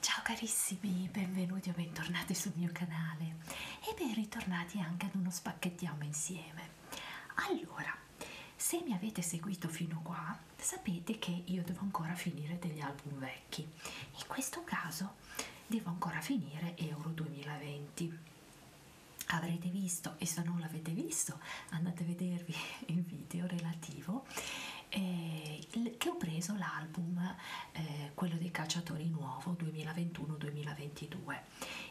Ciao carissimi, benvenuti o bentornati sul mio canale e ben ritornati anche ad uno spacchettiamo insieme. Allora, se mi avete seguito fino qua, sapete che io devo ancora finire degli album vecchi. In questo caso mezzo devo ancora finire euro 2020 avrete visto e se non l'avete visto andate a vedervi il video relativo eh, che ho preso l'album eh, quello dei cacciatori nuovo 2021-2022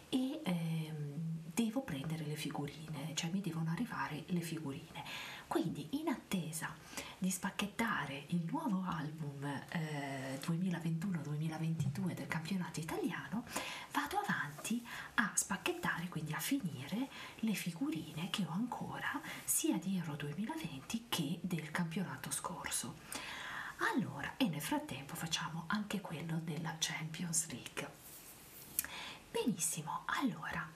e ehm, devo prendere le figurine cioè mi devono arrivare le figurine quindi in attesa di spacchettare il nuovo album eh, 2021-2022 del campionato italiano vado avanti a spacchettare, quindi a finire le figurine che ho ancora sia di Euro 2020 che del campionato scorso. Allora, e nel frattempo facciamo anche quello della Champions League. Benissimo, allora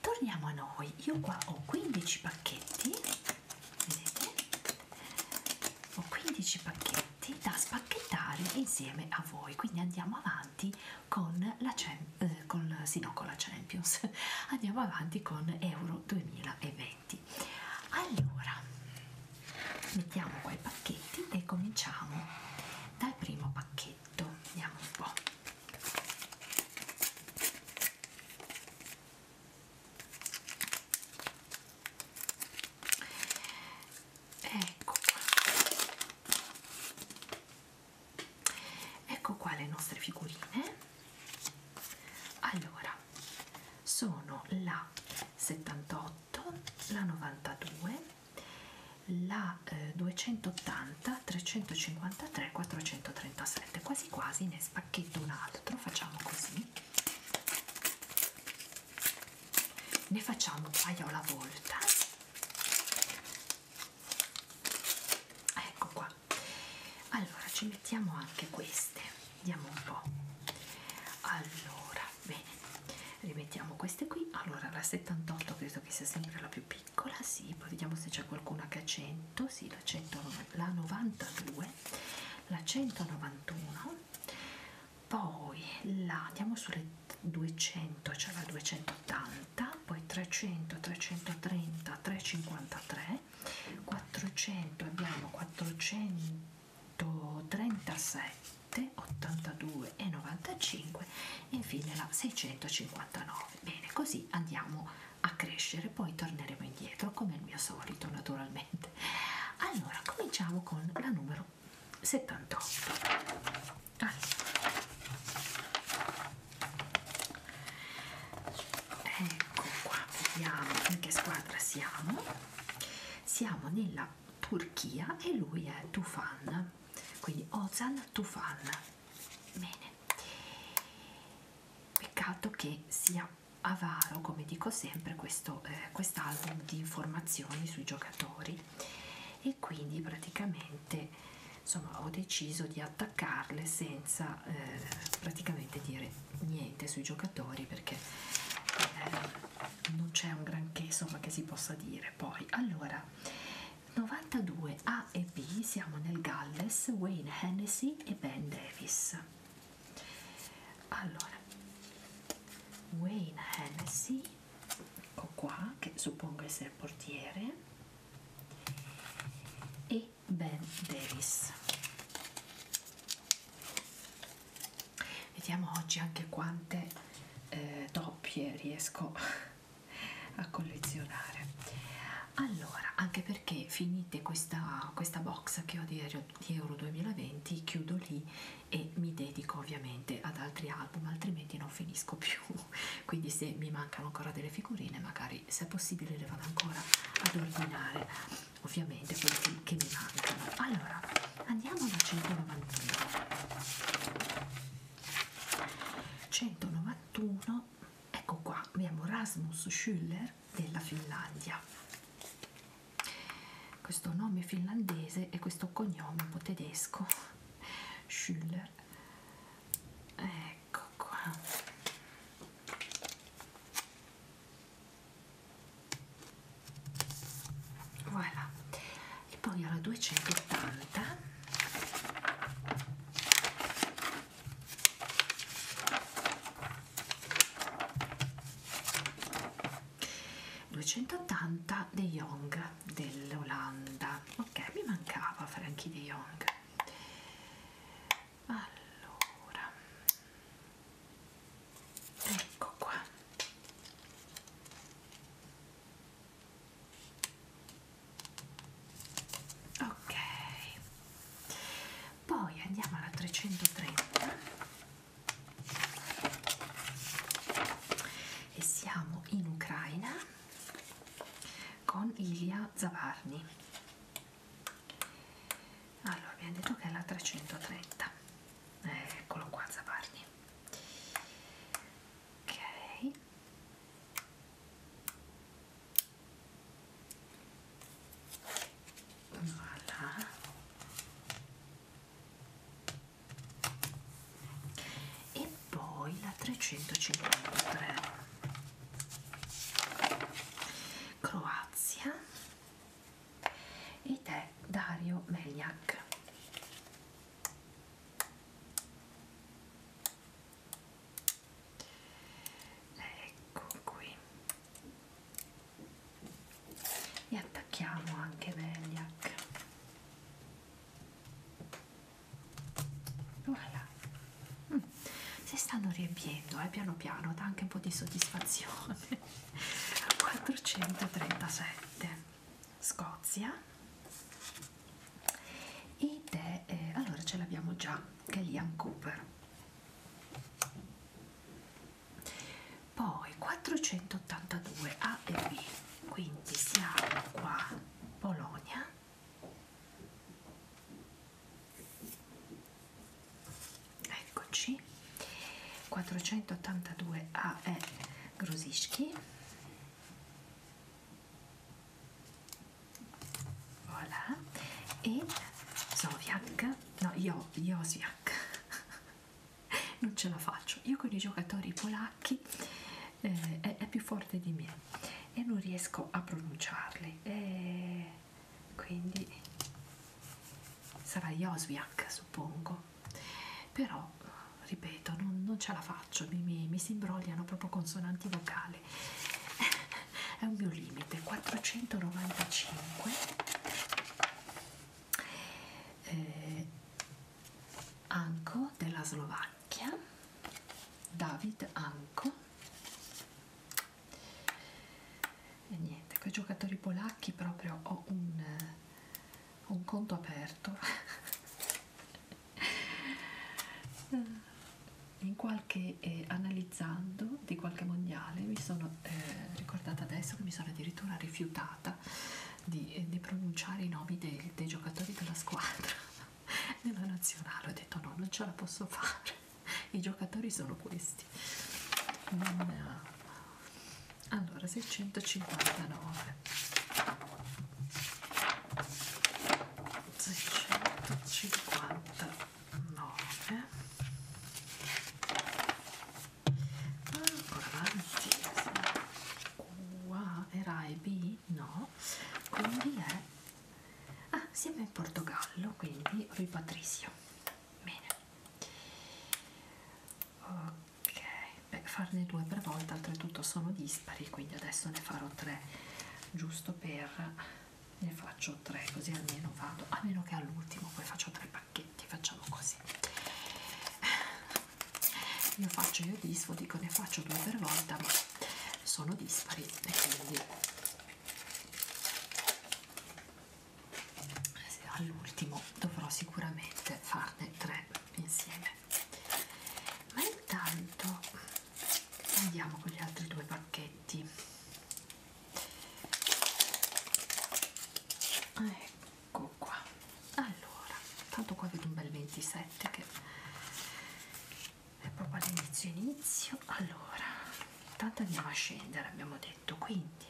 torniamo a noi. Io qua ho 15 pacchetti vedete ho 15 pacchetti da spacchettare insieme a voi quindi andiamo avanti con la, eh, con, sì, no, con la Champions andiamo avanti con Euro 2020 allora mettiamo qua i pacchetti e cominciamo dal primo pacchetto vediamo un po' ecco qua ecco qua le nostre figurine allora sono la 78 la 92 la eh, 280 353 437 quasi quasi ne spacchetto un altro facciamo così ne facciamo un paio alla volta ah, ecco qua allora ci mettiamo anche queste vediamo un po allora bene rimettiamo queste qui allora la 78 credo che sia sempre la più piccola sì poi vediamo se c'è qualcuna che ha 100 sì la, 100, la 92 la 191 poi la andiamo sulle 200 c'è cioè la 280 poi 300 330 353 400 abbiamo 437 82 e 95 e infine la 659 bene così andiamo a crescere poi torneremo indietro come il mio solito naturalmente niente allora cominciamo con la numero 78 allora. ecco qua vediamo in che squadra siamo siamo nella Turchia e lui è Tufan quindi Ozan Tufan bene peccato che sia era avaro, come dico sempre, questo eh, quest'album di informazioni sui giocatori e quindi praticamente insomma ho deciso di attaccarle senza eh, praticamente dire niente sui giocatori perché eh, non c'è un granché insomma che si possa dire poi allora 92 A e B siamo nel Galles Wayne Hennessy e Ben Davis allora Wayne Hennessy ecco qua che suppongo essere portiere e Ben Davis vediamo oggi anche quante eh, doppie riesco a collezionare allora anche perché finite questa, questa box che ho di di Euro 2020 chiudo lì e mi dedico ovviamente ad altri album altrimenti non finisco più quindi se mi mancano ancora delle figurine magari se è possibile le vado ancora ad ordinare ovviamente quelli che mi mancano allora andiamo alla 191 191 ecco qua abbiamo Rasmus Schüller Summer della Finlandia. Questo nome finlandese e questo cognome un po' tedesco, Schüller. Ecco qua. Voilà. E poi alla 280 280 De Jong dell'Olanda ok mi mancava Frankie De Jong allora ecco qua ok poi andiamo alla 330 e siamo in Ucraina con Ilia Zavarni. Allora, abbiamo detto che è la 330. Eh, eccolo qua Zavarni. Ok. Voilà e poi la 353 Croazia ed è Dario Meliak ecco qui e attacchiamo anche Meliac voilà. mm. si stanno riempiendo eh, piano piano dà anche un po' di soddisfazione 437 Scozia ed è eh, allora ce l'abbiamo già Gallian Cooper poi 482 A e B quindi siamo qua Polonia eccoci 482 A e Grosischi voilà e Zoviak no io Josiak non ce la faccio io con i giocatori polacchi eh, è, è più forte di me e non riesco a pronunciarli e quindi sarà Joswiak suppongo però ripeto non, non ce la faccio mi, mi, mi si imbrogliano proprio consonanti vocali è un mio limite 495 eh, Anko della Slovacchia, David Anko e niente, con i giocatori polacchi proprio ho un, eh, un conto aperto in qualche eh, analizzando di qualche mondiale mi sono eh, ricordata adesso che mi sono addirittura rifiutata puntata di, eh, di pronunciare i nomi dei, dei giocatori della squadra della nazionale ho detto no non ce la posso fare i giocatori sono questi non... Eh, allora 659 659 ancora avanti qua è Rai B? no quindi è ah, siamo in Portogallo quindi Rui Patricio bene ok Beh, farne due per volta oltretutto sono dispari quindi adesso ne farò tre giusto per ne faccio tre così almeno vado a meno che all'ultimo poi faccio tre pacchetti facciamo così io faccio io disfo dico ne faccio due per volta ma sono dispari e quindi all'ultimo dovrò sicuramente farne tre insieme ma intanto andiamo con gli altri due pacchetti ecco ecco qua allora tanto qua vedo un bel 27 che è proprio all'inizio inizio allora intanto andiamo a scendere abbiamo detto quindi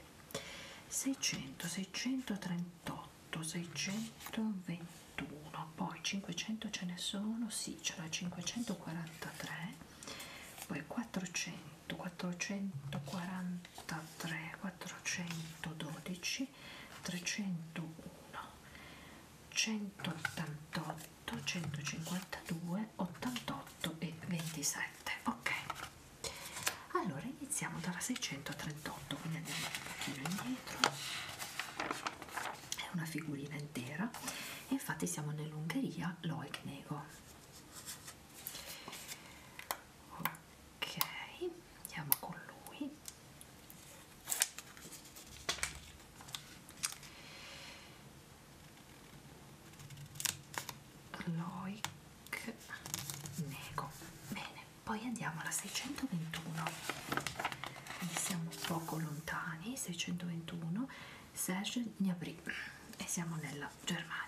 600 638 621 poi 500 ce ne sono sì c'era 543 poi 400 440 483 412 301 188 152 88 e 27 ok allora iniziamo dalla 638 quindi andiamo un pochino indietro è una figurina intera e infatti siamo nell'Ungheria Loic Nego ok andiamo con lui Loic Nego bene poi andiamo alla 621 Quindi siamo poco lontani 621 Serge Gnabry e siamo nella Germania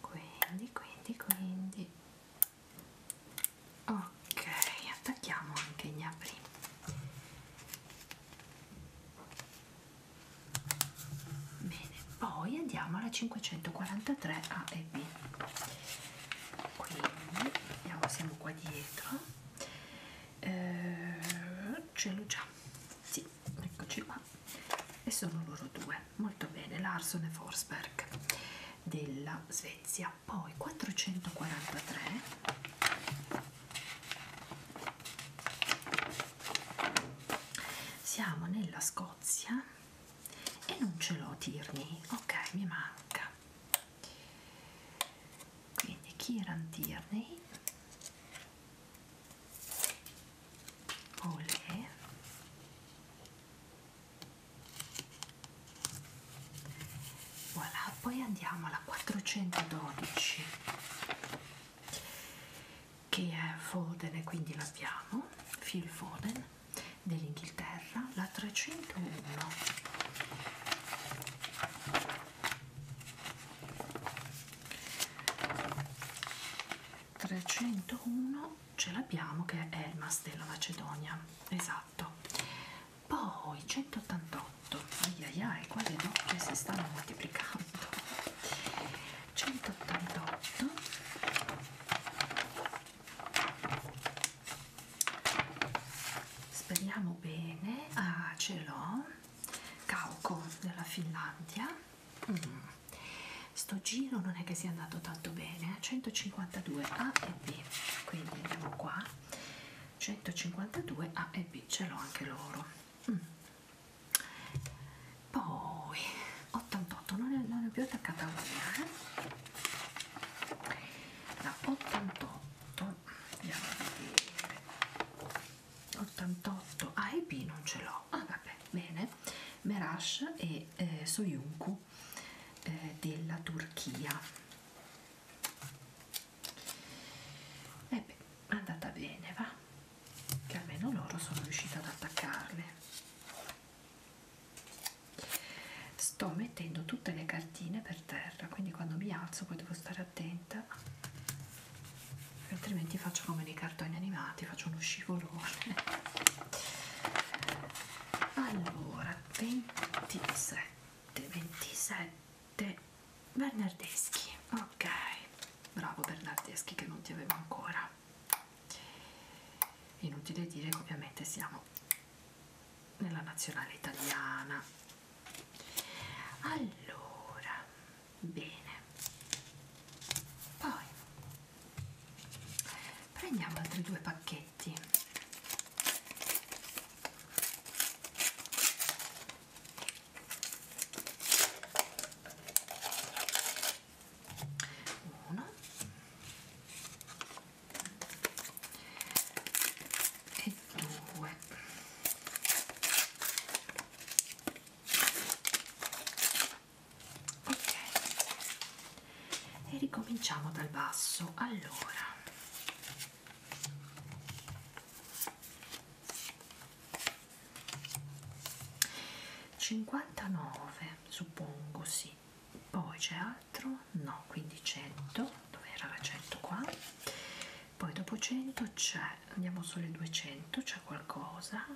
quindi quindi quindi ok attacchiamo anche gli apri bene poi andiamo alla 543 a e b quindi andiamo siamo qua dietro eh, ce l'ho già sì eccoci qua e sono loro due molto bene Larson e Forsberg della Svezia poi 443 siamo nella Scozia e non ce l'ho Tierney ok mi manca quindi Kieran Tierney olè voilà poi andiamo alla 412 che è Foden e quindi l'abbiamo Phil Foden dell'Inghilterra la 301 301 ce l'abbiamo che è Elmas della Macedonia esatto poi 188 aiaiai quali doppie si stanno moltiplicando 188 speriamo bene ah ce l'ho Cauco della Finlandia mm. sto giro non è che sia andato tanto bene eh? 152 A e B quindi andiamo qua 152 A e B ce l'ho anche loro mm. poi 88 non ne, non ne ho più attaccata una eh? la 88 andiamo a vedere 88 A e B non ce l'ho no, ah vabbè, bene, Merash e eh, Soyuncu eh, della Turchia. E eh beh, è andata bene, va? Che almeno loro sono riuscita ad attaccarle. Sto mettendo tutte le cartine per terra, quindi quando mi alzo poi devo stare attenta, altrimenti faccio come nei cartoni animati, faccio uno scivolone allora 27 27 Bernardeschi ok bravo Bernardeschi che non ti avevo ancora inutile dire che ovviamente siamo nella nazionale italiana allora bene poi prendiamo altri due pacchetti uno e due ok e ricominciamo dal basso allora cinquantanove suppongo sì poi c'è altro no quindi 100 dove era la 100 qua poi dopo 100 c'è andiamo solo il 200 c'è qualcosa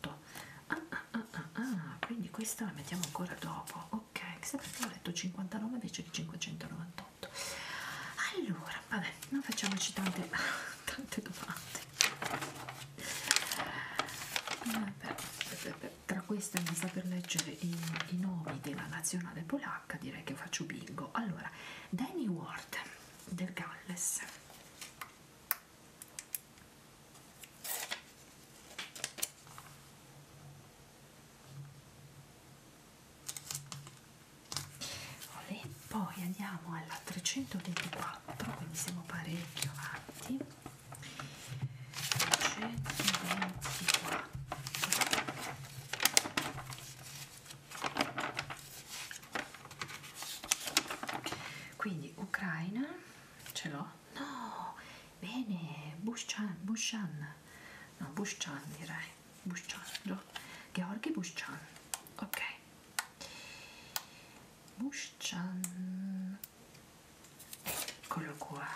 8 ah, ah, ah, ah, ah. quindi questa la mettiamo ancora dopo ok chissà perché ho letto 59 invece di 598 allora vabbè non facciamoci tante, tante domande vabbè, vabbè, tra queste non saper leggere i, i nomi della nazionale polacca direi che faccio bingo allora Danny Ward del Galles e poi andiamo alla 324 quindi siamo parecchio avanti 324 quindi Ucraina ce l'ho? no, bene, Bushchan, Bushchan no, Bushchan direi Bushchan, Gheorghi Bushchan ok Bushchan eccolo qua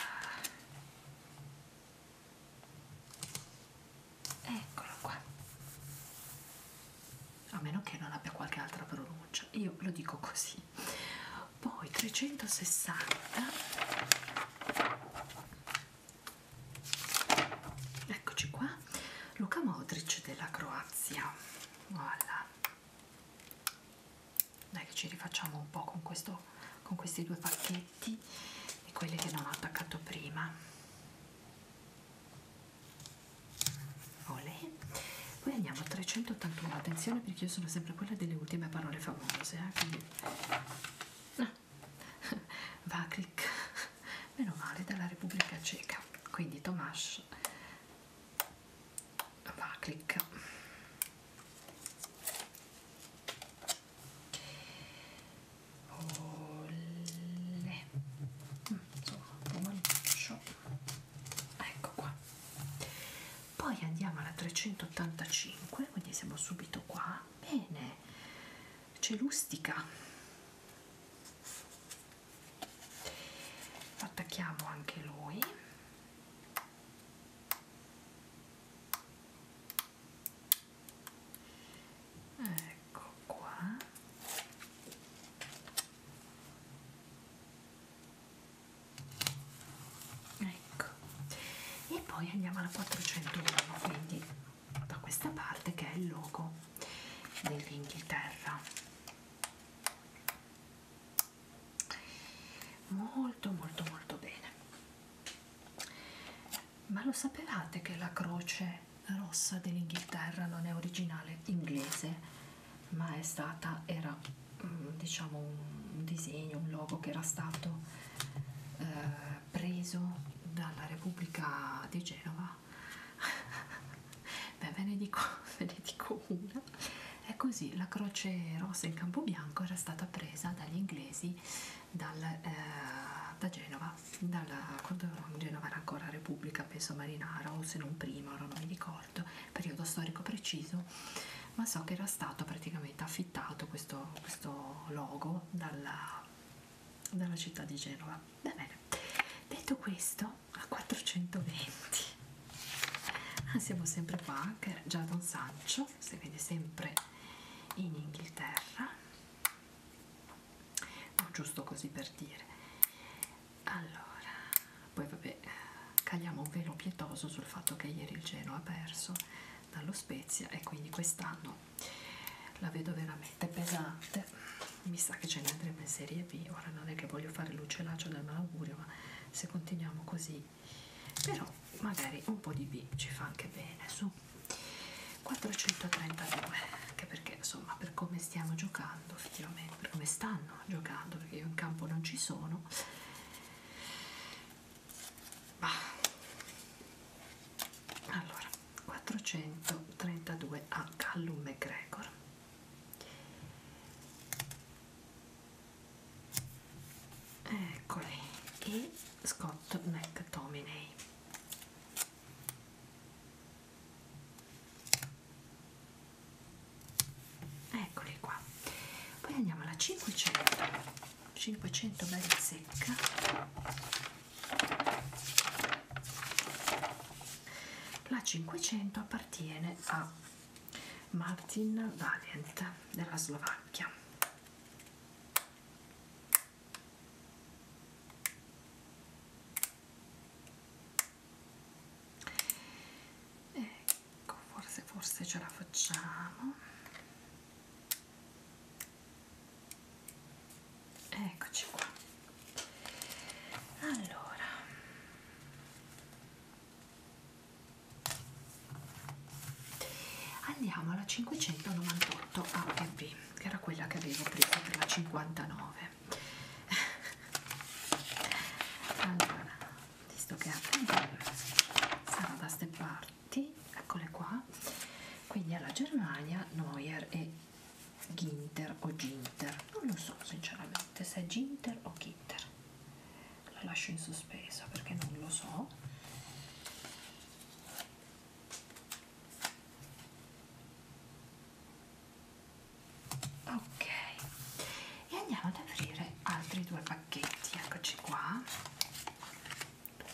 eccolo qua a meno che non abbia qualche altra pronuncia, io lo dico così. Poi 360 Eccoci qua. Luca Modric della Croazia. Voilà. Dai che ci rifacciamo un po' con questo con questi due pacchetti e quelli che non ho attaccato prima Olè. Poi andiamo a 381, attenzione perché io sono sempre quella delle ultime parole famose, eh? quindi no. Vakrik, meno male, dalla Repubblica Ceca, quindi Tomasz Vakrik. Olè. Mm, insomma, buon show. Ecco qua poi andiamo alla 385 quindi siamo subito qua bene c'è l'ustica lo attacchiamo anche lui ecco qua ecco e poi andiamo alla 401 quindi da questa parte che è il logo dell'Inghilterra molto molto molto bene ma lo sapevate che la croce rossa dell'Inghilterra non è originale inglese ma è stata era mm, diciamo un disegno un logo che era stato eh, preso dalla Repubblica di Genova beh ve ne dico ve ne dico una è così la croce rossa in campo bianco era stata presa dagli inglesi dal, eh, da Genova dalla, quando Genova era ancora Repubblica penso Marinara o se non prima ora non mi ricordo ricordo periodo storico preciso, ma so che era stato praticamente affittato questo, questo logo dalla, dalla città di Genova. Va bene, detto questo, a 420. Ah, siamo sempre qua, che era già Don Sancio, si vede sempre in Inghilterra, no, oh, giusto così per dire allora poi vabbè eh, cagliamo un velo pietoso sul fatto che ieri il Genoa ha perso dallo Spezia e quindi quest'anno la vedo veramente pesante mi sa che ce ne andremo in Serie B ora non è che voglio fare l'uccellaccio del malaugurio ma se continuiamo così però magari un po' di B ci fa anche bene su 432 anche perché insomma per come stiamo giocando effettivamente per come stanno no, giocando perché io in campo non ci sono ma allora 432 a Callum McGregor eccoli e Scott McTominay eccoli qua poi andiamo alla 500 500 bella secca la 500 appartiene a Martin Valent della Slovacchia ecco forse forse ce la facciamo eccoci qua allora andiamo alla 598 APB che era quella che avevo preso per la 59 allora visto che eh, sarà da ste parti, eccole qua. Quindi alla Germania, Neuer e Ginter o Ginter, non lo so sinceramente se è Ginter o Ginter, la lascio in sospeso perché non lo so ok e andiamo ad aprire altri due pacchetti eccoci qua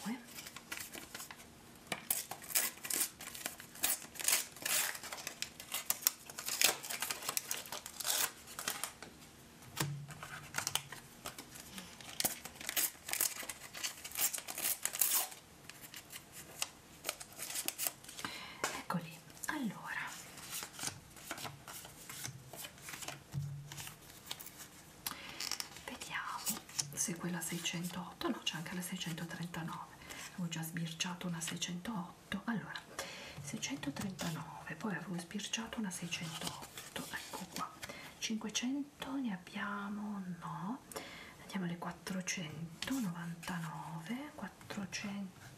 due Eccoli, allora Vediamo se quella 608, no c'è anche la 639, avevo già sbirciato una 608, allora 639, poi avevo sbirciato una 608, ecco qua, 500 ne abbiamo, no, andiamo alle 499, 400.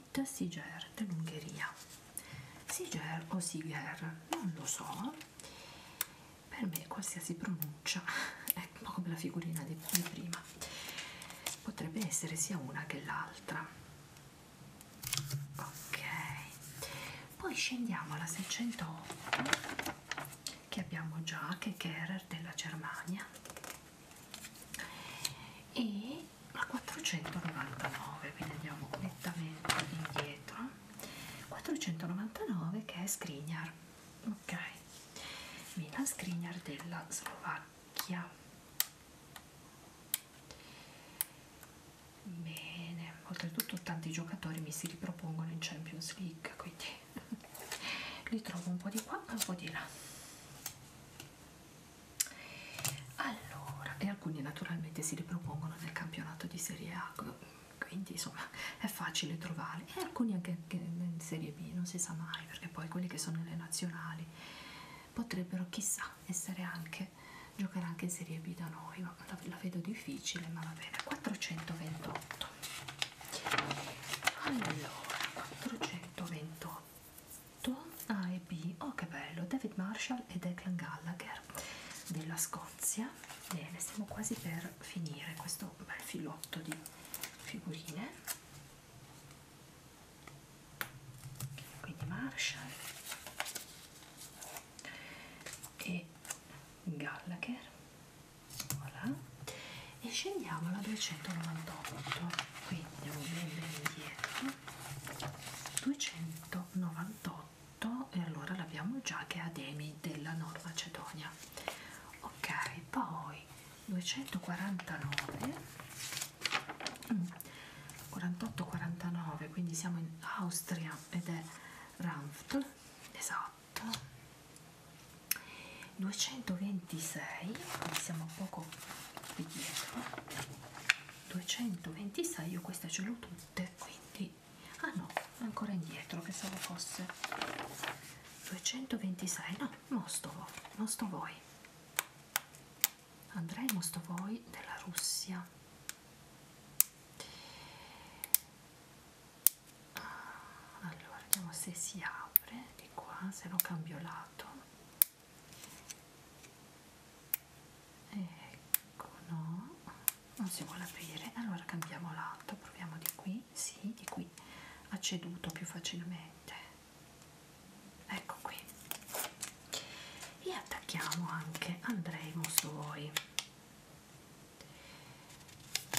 Margit Siger dell'Ungheria. Siger o Siger, non lo so, per me qualsiasi pronuncia è un po' come la figurina di, di prima, potrebbe essere sia una che l'altra. Ok, poi scendiamo alla 608 che abbiamo già, che è Kerer della Germania e a 499 quindi andiamo nettamente indietro 499 che è Skriniar ok Milan Skriniar della Slovacchia bene oltretutto tanti giocatori mi si ripropongono in Champions League quindi li trovo un po' di qua e un po' di là allora e alcuni naturalmente si ripropongono nel campionato di Serie A quindi insomma è facile trovarli e alcuni anche in Serie B non si sa mai perché poi quelli che sono nelle nazionali potrebbero chissà essere anche giocare anche in Serie B da noi ma la, la vedo difficile ma va bene 428 allora 428 a e B, oh che bello, David Marshall e Declan Gallagher della Scozia. Bene, stiamo quasi per finire questo bel filotto di figurine. Quindi Marshall e Gallagher. Voilà. E scendiamo alla 298. Quindi indietro 298 e allora l'abbiamo già che è Ademi della Nord Macedonia ok poi 249 48 49 quindi siamo in Austria ed è Ranft esatto 220 226 siamo poco qui dietro 226 io queste ce l'ho tutte quindi ah no ancora indietro pensavo fosse 226 no mostro voi mostro voi andrei mostro voi della russia ah, allora vediamo se si apre di qua se lo cambio lato ecco no non si vuole aprire allora cambiamo l'altro proviamo di qui sì di qui ha ceduto più facilmente ecco qui e attacchiamo anche andrei Mosoi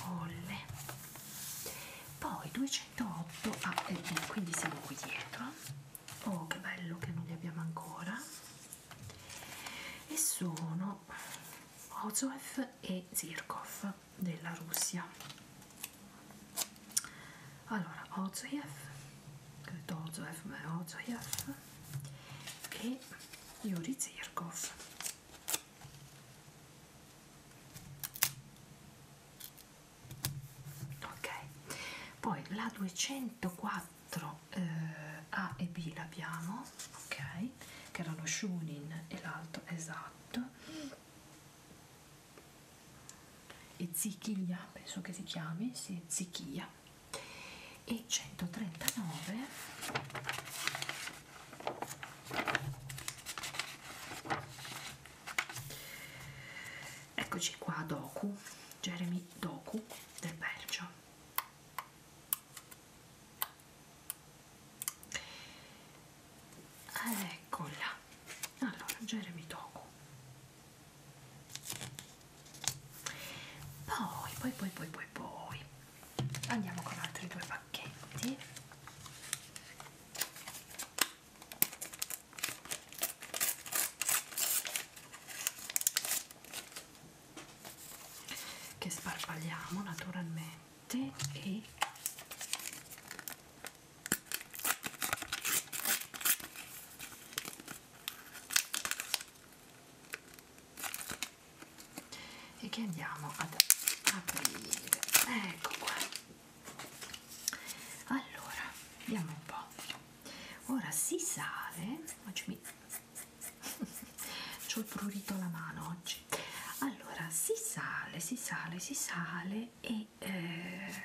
Olle. poi 208 ah, eh, eh, quindi siamo qui dietro oh che bello che non li abbiamo ancora e sono Ozoev e Zirkov della Russia allora Ozoev credo Ozoev ma è Ozoev e Yuri Zirkov ok poi la 204 eh, A e B l'abbiamo ok che era lo Shunin e l'altro esatto e Zichia penso che si chiami sì, Zichia e 139 Eccoci qua Doku, Jeremy Doku del Belgio. Eccola. Allora, Jeremy Doku. Poi, poi, poi, poi, poi, poi. Andiamo con altri due pacchetti che sparpagliamo naturalmente e e che andiamo ad aprire ecco qua allora vediamo un po' ora si sale oggi mi ho il prurito alla mano oggi allora si sale si sale si sale e eh,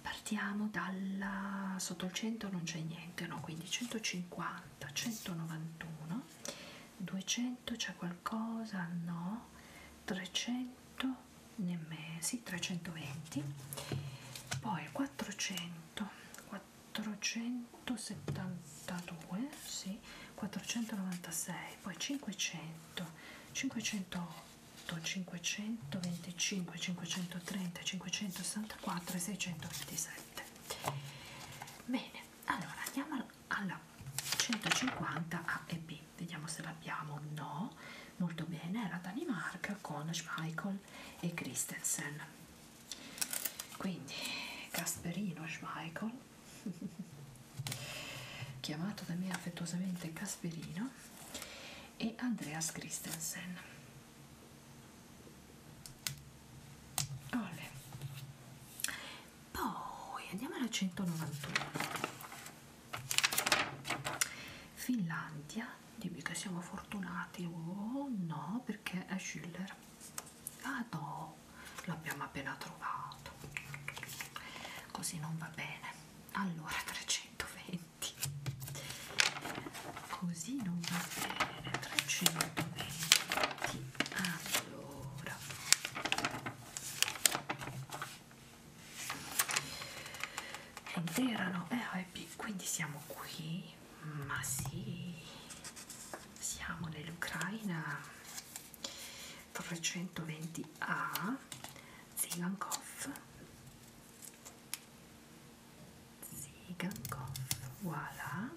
partiamo dalla sotto il 100 non c'è niente no quindi 150 191 200 c'è qualcosa no 300 nel mese 320 poi 400 472 sì, 496 poi 500 508 525 530 564 e 627 bene allora andiamo alla 150 a e b vediamo se l'abbiamo no molto bene la Danimarca con Schmeichel e Christensen quindi Casperino Schmeichel chiamato da me affettuosamente Casperino e Andreas Christensen Olè. poi andiamo alla 191 Finlandia, dimmi che siamo fortunati, oh no, perché è Schiller. Ah no, l'abbiamo appena trovato. Così non va bene. Allora 320. Così non va bene. 320. Allora. Eh, oh, è intera no? Eh, happy. quindi siamo qui ma sì siamo nell'Ucraina 320A Zigankov Zigankov voilà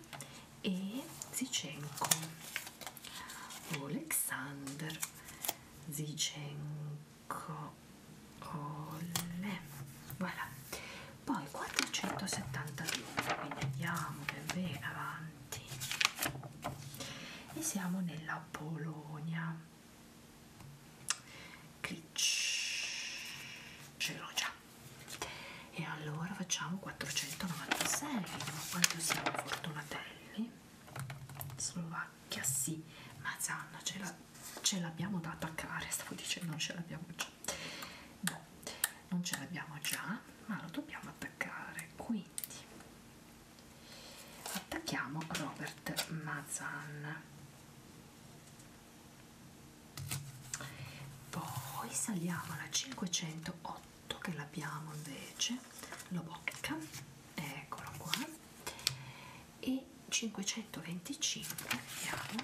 e Zichenko Oleksandr Zichenko Colle. Voilà. Poi 472, quindi andiamo ben avanti. E siamo nella Polonia. Clic. Ce l'ho già. E allora facciamo 496. Quanto siamo fortunatelli? Slovacchia che sì, ma Zanna ce l'abbiamo da attaccare, stavo dicendo non ce l'abbiamo già, no, non ce l'abbiamo già, ma lo dobbiamo attaccare, quindi attacchiamo Robert Mazan poi saliamo alla 508 che l'abbiamo invece lo bocca eccolo qua e 525 abbiamo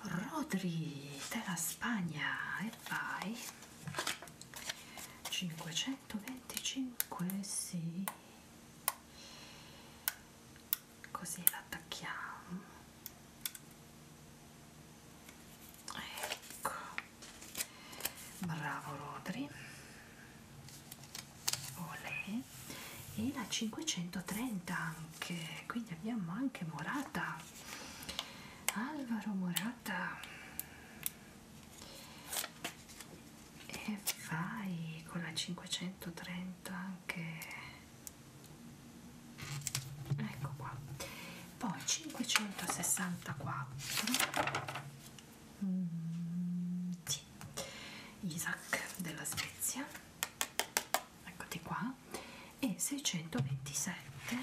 Rodri della Spagna e vai 525 sì così l'attacchiamo ecco bravo Rodri Olè e la 530 anche quindi abbiamo anche Morata Alvaro Morata e vai con la 530 anche ecco qua poi 564 mm, sì. Isaac della Svezia eccoti qua e 627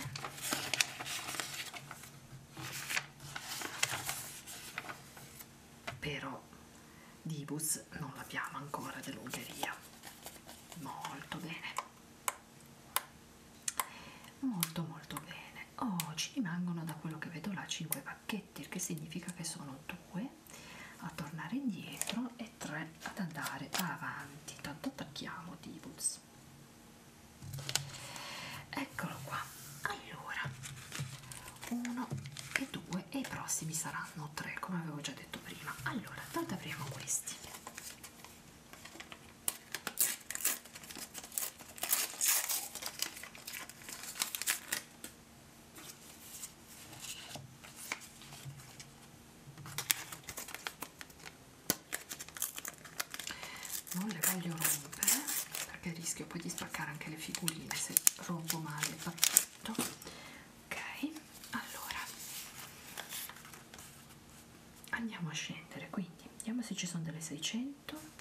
però Dibus non l'abbiamo ancora dell'Ungheria molto bene molto molto bene oh ci rimangono da quello che vedo là 5 pacchetti pezzetti, il che significa che sono due a tornare indietro e tre ad andare avanti. Tanto attacchiamo Divols. Eccolo qua. Allora, uno e due e i prossimi saranno tre, come avevo già detto prima. Allora, tanto apriamo questi non le voglio rompere perché rischio poi di spaccare anche le figurine se rompo male il pacchetto ok allora andiamo a scendere quindi vediamo se ci sono delle 600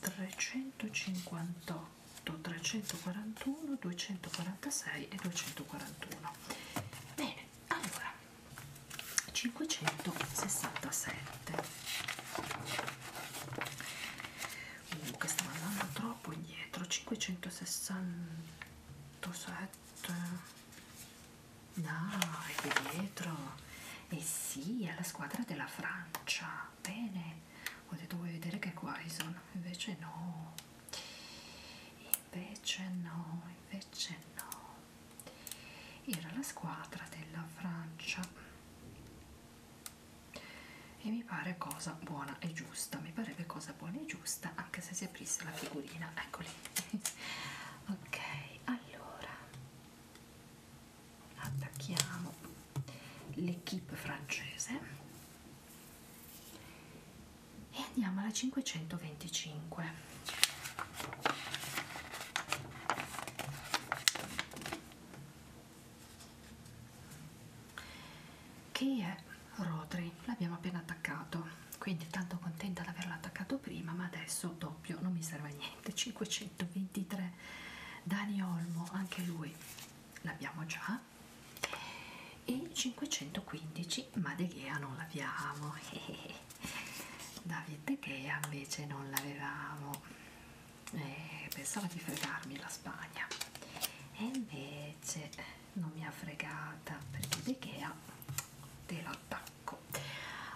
358 341 246 e 241 bene allora 567 uh, che stiamo andando troppo indietro 567 no è qui dietro e eh sì è la squadra della Francia bene ho detto vuoi vedere che è Quaison invece no invece no invece no era la squadra della Francia e mi pare cosa buona e giusta mi parebbe cosa buona e giusta anche se si aprisse la figurina eccoli ok allora attacchiamo l'equipe francese e andiamo alla 525 che è Rodri l'abbiamo appena attaccato quindi tanto contenta di averlo attaccato prima ma adesso doppio non mi serve a niente 523 Dani Olmo anche lui l'abbiamo già e il 515 ma De Gea non l'abbiamo David De Gea invece non l'avevamo eh, pensavo di fregarmi la Spagna e invece non mi ha fregata perché De Gea te l'attacco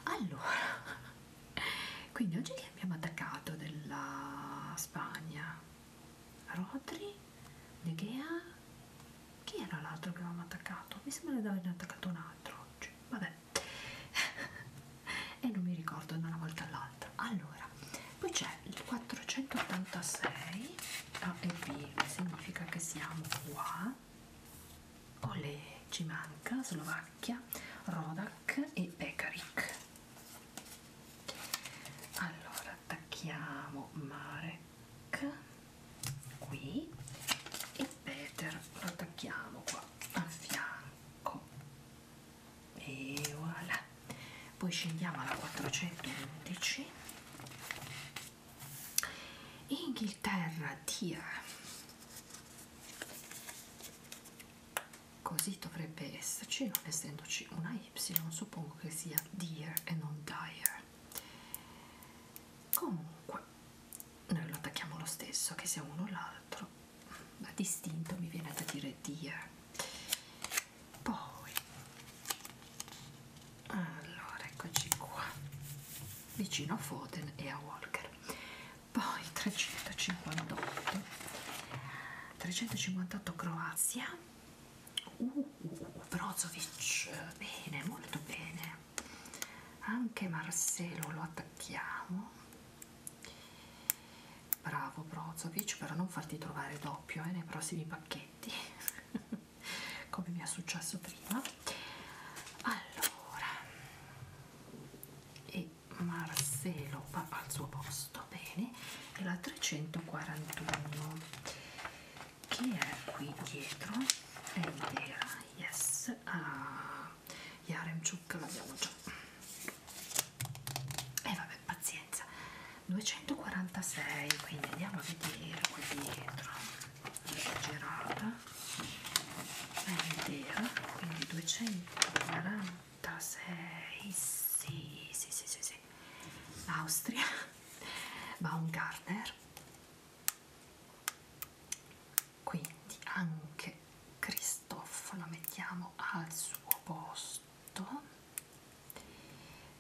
allora quindi oggi abbiamo attaccato della Spagna Rodri, De Gea, chi era l'altro che avevamo attaccato? Mi sembra di averne attaccato un altro oggi, vabbè e non mi ricordo da una volta all'altra allora, poi c'è il 486 A e B significa che siamo qua Ole ci manca Slovacchia, Rodak e Pekarik allora attacchiamo Marek qui e Peter lo attacchiamo qua a fianco e voilà poi scendiamo alla 411 Inghilterra tira così dovrebbe esserci non essendoci una y suppongo che sia dear e non dire comunque noi lo attacchiamo lo stesso che sia uno o l'altro ma distinto mi viene da dire dear poi allora eccoci qua vicino a Foden e a Walker poi 358 358 Croazia uh, uh, Brozovic bene, molto bene anche Marcelo lo attacchiamo bravo Brozovic però non farti trovare doppio eh, nei prossimi pacchetti come mi è successo prima allora e Marcello va al suo posto, bene, e la 341 che è qui dietro è intera, yes, ah, Yaremchuk l'abbiamo già. E eh, vabbè, pazienza, 246, quindi andiamo a vedere qui dietro, la girata è intera, quindi 240. 86 sì sì sì sì, sì. l'Austria Baumgartner quindi anche Christoph lo mettiamo al suo posto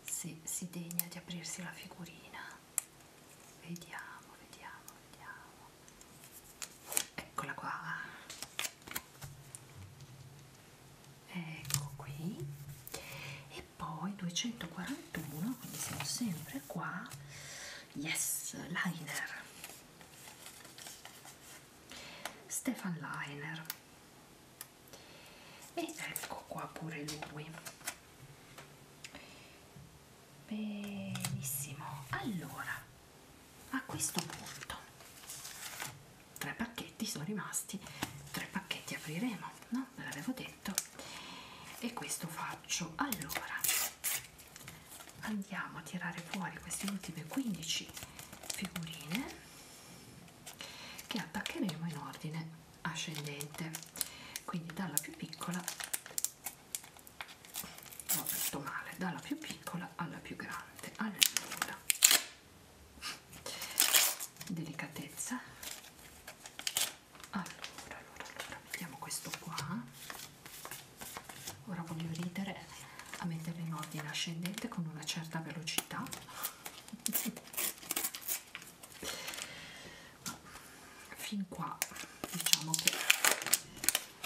se si degna di aprirsi la figurina vediamo vediamo vediamo eccola qua ecco qui e poi 241 quindi siamo sempre qua yes liner Stefan Liner ed ecco qua pure lui benissimo allora a questo punto tre pacchetti sono rimasti tre pacchetti apriremo no ve l'avevo detto e questo faccio allora andiamo a tirare fuori queste ultime 15 figurine che attaccheremo in ordine ascendente quindi dalla più piccola ho detto male dalla più piccola alla più grande allora delicatezza allora allora allora mettiamo questo qua ora voglio ridere a metterlo in ordine ascendente con una certa velocità fin qua diciamo che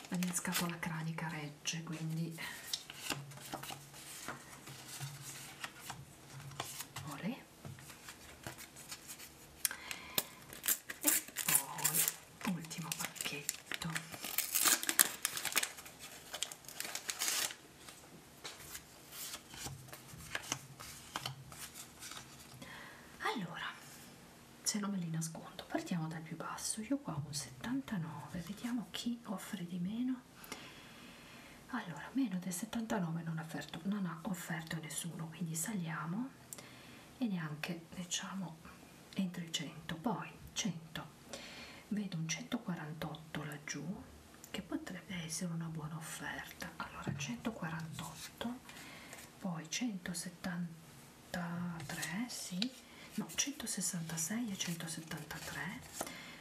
la mia scapola cranica regge legge quindi Olè. e poi ultimo pacchetto allora se non me li nascondo partiamo dal più basso io qua ho un 79 vediamo chi offre di meno allora meno del 79 non, offerto, non ha offerto nessuno quindi saliamo e neanche diciamo entro i 100 poi 100 vedo un 148 laggiù che potrebbe essere una buona offerta allora 148 poi 173 sì no 166 e 173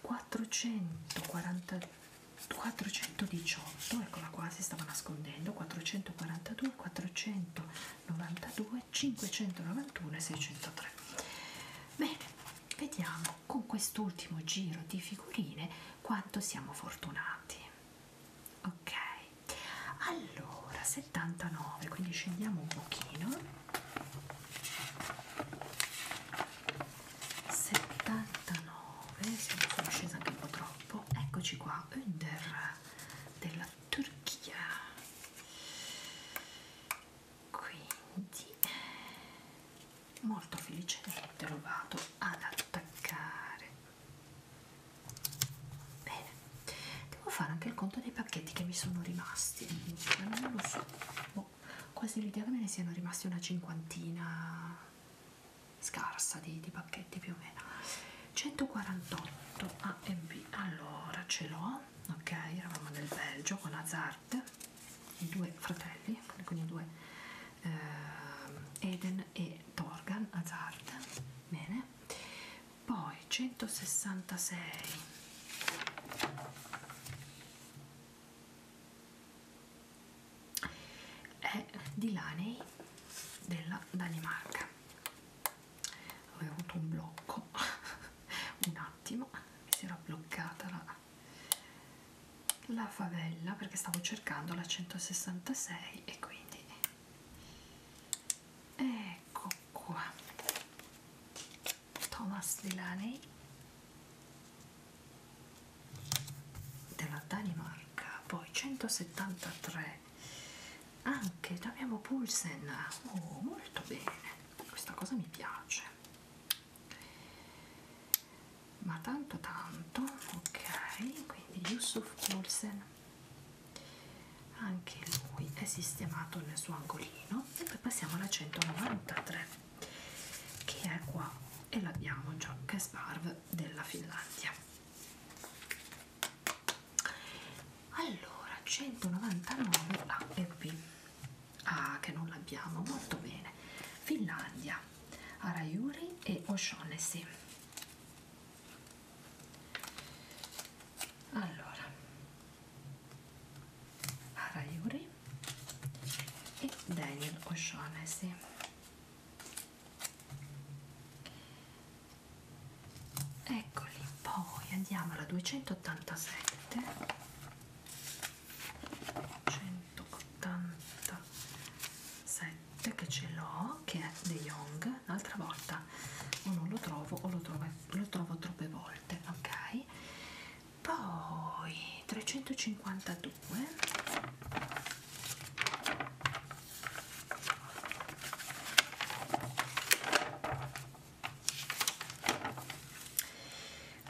440, 418 eccola qua si stava nascondendo 442 492 591 e 603 bene vediamo con quest'ultimo giro di figurine quanto siamo fortunati ok allora 79 quindi scendiamo un pochino 79 siamo sono scesa anche un po' troppo eccoci qua under della Turchia quindi molto felicemente lo vado ad attaccare bene devo fare anche il conto dei pacchetti che mi sono rimasti non lo so boh, ho quasi l'idea che me ne siano rimasti una cinquantina scarsa di, di pacchetti più o meno 148 AMB allora ce l'ho ok eravamo nel Belgio con Hazard i due fratelli quindi i due eh, Eden e Torgan Hazard bene poi 166 è di Laney della Danimarca avevo avuto un blocco un attimo mi si era bloccata la, la favella perché stavo cercando la 166 e quindi ecco qua Thomas Delaney della Danimarca, poi 173 anche abbiamo Pulsen, oh, molto bene, questa cosa mi piace, ma tanto tanto, ok, quindi Yusuf Pulsen, anche lui è sistemato nel suo angolino e poi passiamo alla 193 che è qua e l'abbiamo già che sparv della Finlandia allora 199 l'Appi ah che non l'abbiamo molto bene Finlandia Arayuri e O'Shaughnessy allora Ara Yuri e Daniel O'Shaughnessy eccoli poi andiamo alla 287 187 che ce l'ho che è De Jong l'altra volta o non lo trovo o lo trovo, lo trovo troppe volte ok poi 352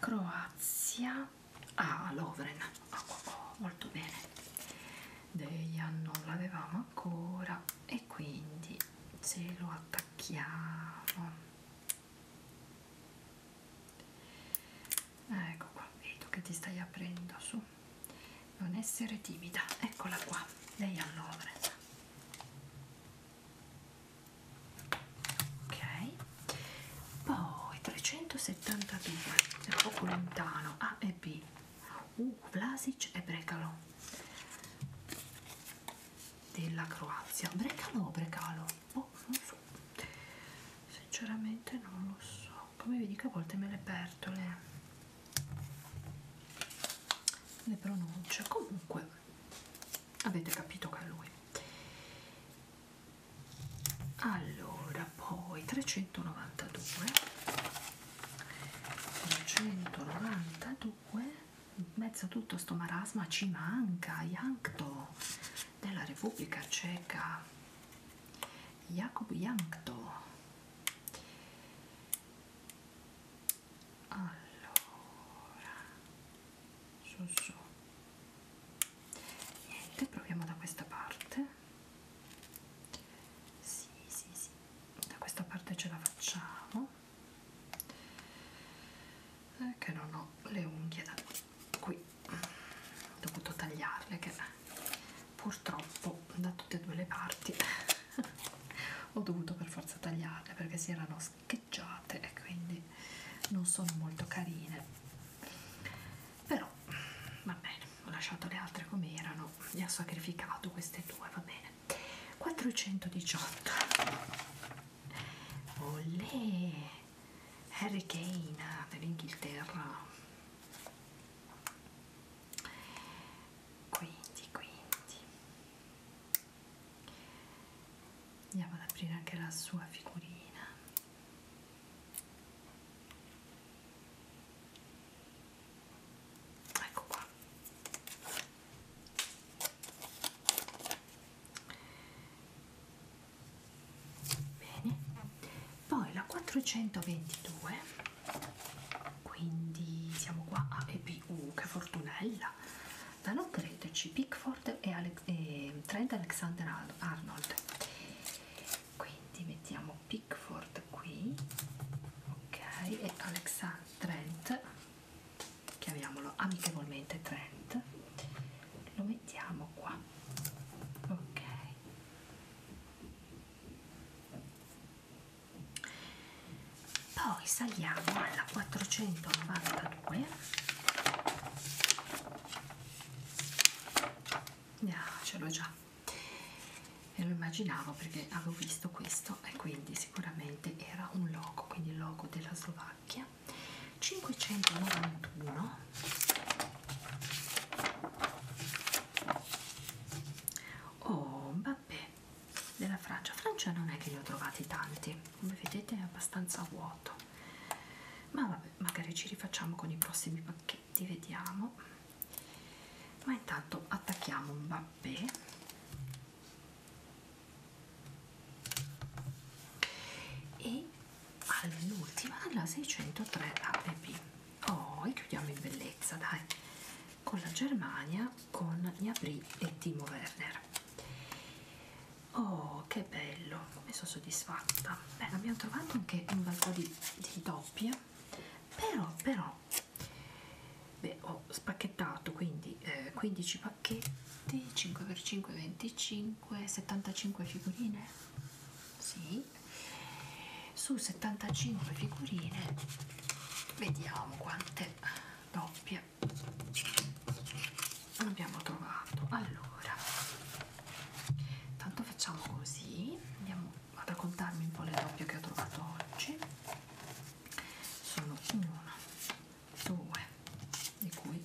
Croazia ah Lovren oh, oh, oh, molto bene Deia non l'avevamo ancora e quindi se lo attacchiamo Ah, ecco qua vedo che ti stai aprendo su non essere timida eccola qua lei allora ok poi 372 è un poco lontano A e B uh, Vlasic e Brecalo della Croazia Brecalo o Brecalo boh, non so sinceramente non lo so come vi dico a volte me le perdo le, le pronunce comunque avete capito che è lui allora poi 392 192 in mezzo a tutto sto marasma ci manca Yankto della Repubblica Ceca Jakub Jankto allora su su niente proviamo da questa parte sì sì sì da questa parte ce la facciamo eh, che non ho le unghie da qui ho dovuto tagliarle che purtroppo da tutte e due le parti ho dovuto per forza tagliarle perché si erano scheggiate e quindi non sono molto carine però va bene ho lasciato le altre come erano e ho sacrificato queste due va bene 418 Olè Harry Kane dell'Inghilterra quindi quindi andiamo ad aprire anche la sua figurina ecco qua Bene. Poi la 422, quindi siamo qua a EBU, che fortunella! Da non crederci, Pickford e, Ale e Trent Alexander Arnold. Quindi mettiamo Pickford qui, ok, e Alexander Trent, chiamiamolo amichevolmente Trent, lo mettiamo qua ok poi saliamo alla 492 no, ah, ce l'ho già e lo immaginavo perché avevo visto questo e quindi sicuramente era un logo quindi il logo della Slovacchia 591 oh vabbè della Francia Francia non è che ne ho trovati tanti come vedete è abbastanza vuoto ma vabbè magari ci rifacciamo con i prossimi pacchetti vediamo ma intanto attacchiamo un vabbè e all'ultima la 603 app oh e chiudiamo in bellezza dai con la Germania con Gnabry e Timo Werner oh che bello come sono soddisfatta beh abbiamo trovato anche un bel po' di, di doppie però però beh, ho spacchettato quindi eh, 15 pacchetti 5x5 25 75 figurine sì così su 75 figurine vediamo quante doppie abbiamo trovato allora tanto facciamo così andiamo a raccontarmi un po' le doppie che ho trovato oggi sono una due di cui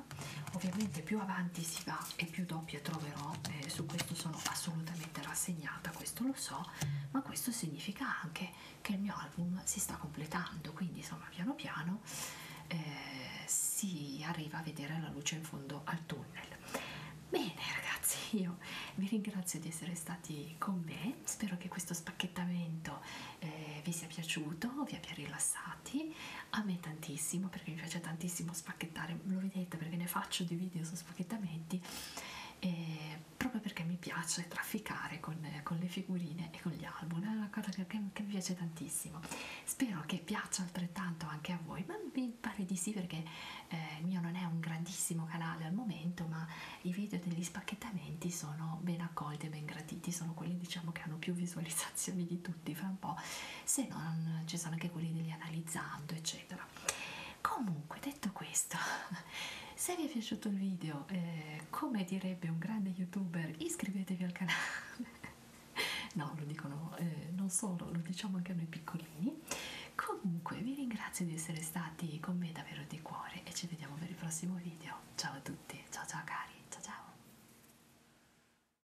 adesso ovviamente più avanti si va e più doppie troverò eh, su questo sono assolutamente rassegnata questo lo so ma questo significa anche che il mio album si sta completando quindi insomma piano piano eh, si arriva a vedere la luce in fondo al tunnel bene ragazzi io vi ringrazio di essere stati con me spero che questo spacchettamento eh, vi sia piaciuto vi abbia rilassati a me tantissimo perché mi piace tantissimo a spacchettare, lo vedete perché ne faccio di video su spacchettamenti, e eh, proprio perché mi piace trafficare con, con le figurine e con gli album, è una cosa che, che mi piace tantissimo. Spero che piaccia altrettanto anche a voi, ma mi pare di sì perché eh, il mio non è un grandissimo canale al momento, ma i video degli spacchettamenti sono ben accolti e ben graditi, sono quelli diciamo che hanno più visualizzazioni sensazioni di tutti fra un po', se non ci sono anche quelli degli analizzando, eccetera. Comunque, detto questo, se vi è piaciuto il video, eh, come direbbe un grande youtuber, iscrivetevi al canale. no, lo dicono eh, non solo, lo diciamo anche a noi piccolini. Comunque, vi ringrazio di essere stati con me davvero di cuore e ci vediamo per il prossimo video. Ciao a tutti, ciao ciao cari, ciao ciao.